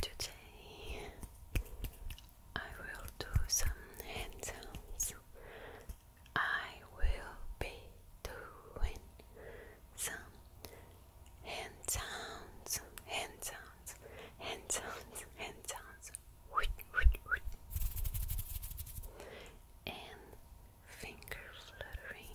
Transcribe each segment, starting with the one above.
Today I will do some hand sounds. I will be doing some hand sounds, hand sounds, hand sounds, hand sounds finger fluttering.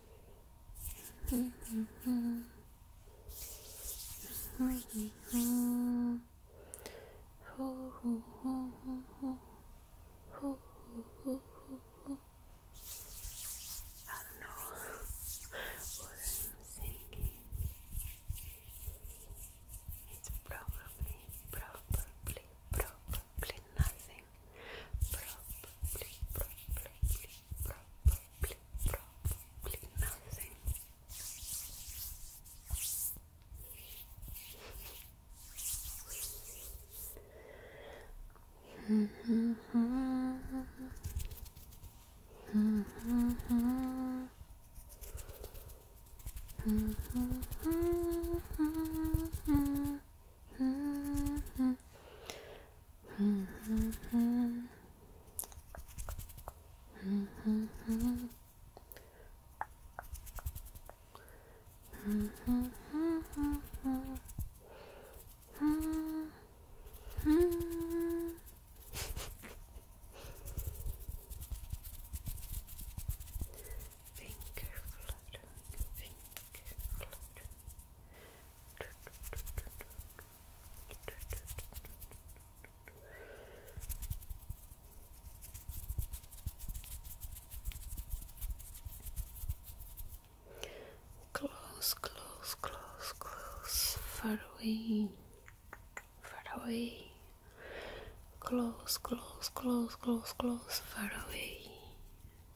I don't know what I'm singing. It's probably, probably, probably nothing. Probably, probably, nothing. Mm -hmm, mm -hmm, mm -hmm. Mm -hmm, Finger fluttering, finger fluttering, Close, close, close, close, far away, far away. Close, close, close, close, close, far away,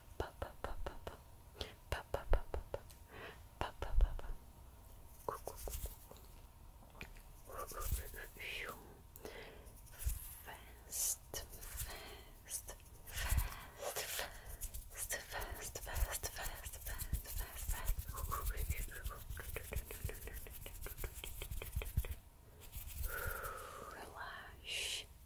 Fast, fast, fast, fast, fast, fast, fast, fast, fast, fast. Relax.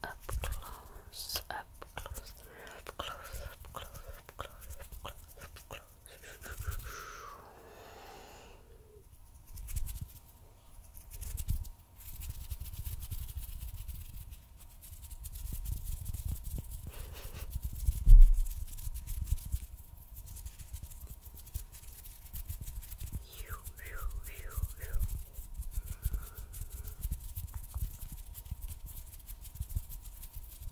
Up close, up close, up close, up close, up close, up close, up close. you, you, you, you.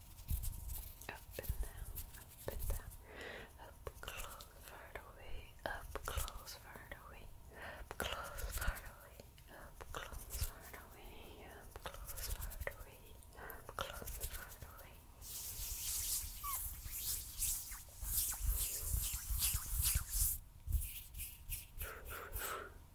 Up and down, up and down. Up close, far away. Up close, far away. Up close, far away. Up close, far away. Up close, far away. Up close, far away. Up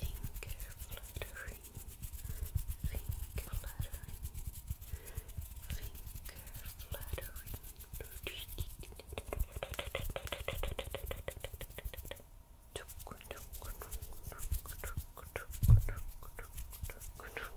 Finger fluttering, finger fluttering, finger fluttering.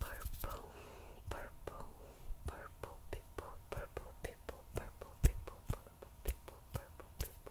Purple, purple, purple people, purple people, purple people, purple people, purple people.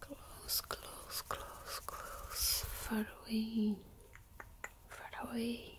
Close, close, close, close, far away, far away,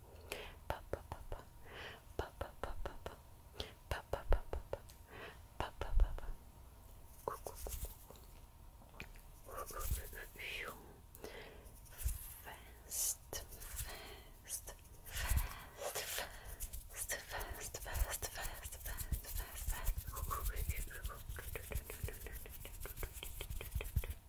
Fast, fast, fast, fast, fast, fast, fast, fast, fast, fast.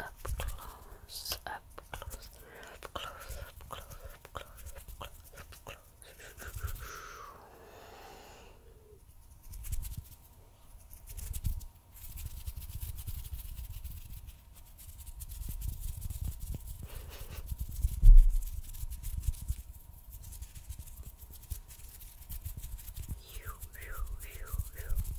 up close, up close, up close, up close, up close, up close, up close. you, you, you, you.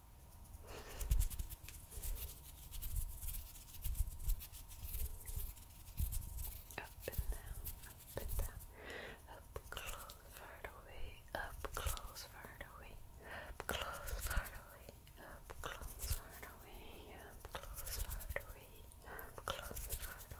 Up and down, up and down, up close, far away, up close, far away, up close, far away, up close, far away, up close, far away, up close, far away.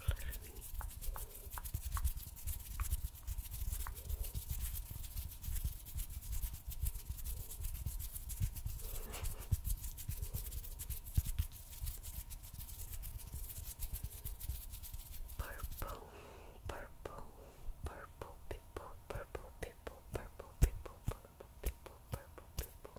fluffy. Purple, purple, purple people, purple people, purple people, purple people, purple people. Purple people.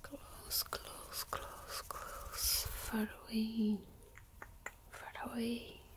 Close, close, close, close, far away, far away.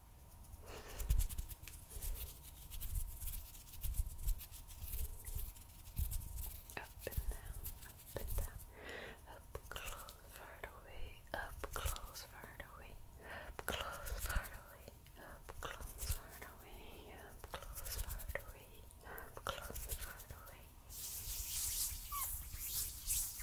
Up and down, up and down, up close, far away, up close, far away, up close, far away, up close, far away, up close, far away, up close, far away.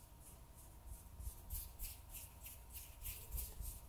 fluttering, finger fluttering, finger fluttering.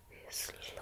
is slow.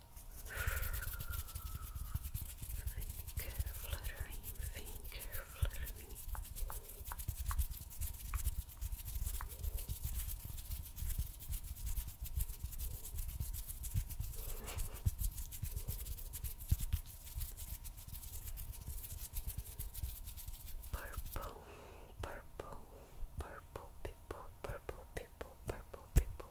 Finger fluttering, finger fluttering. Purple, purple, purple people, purple people, purple people,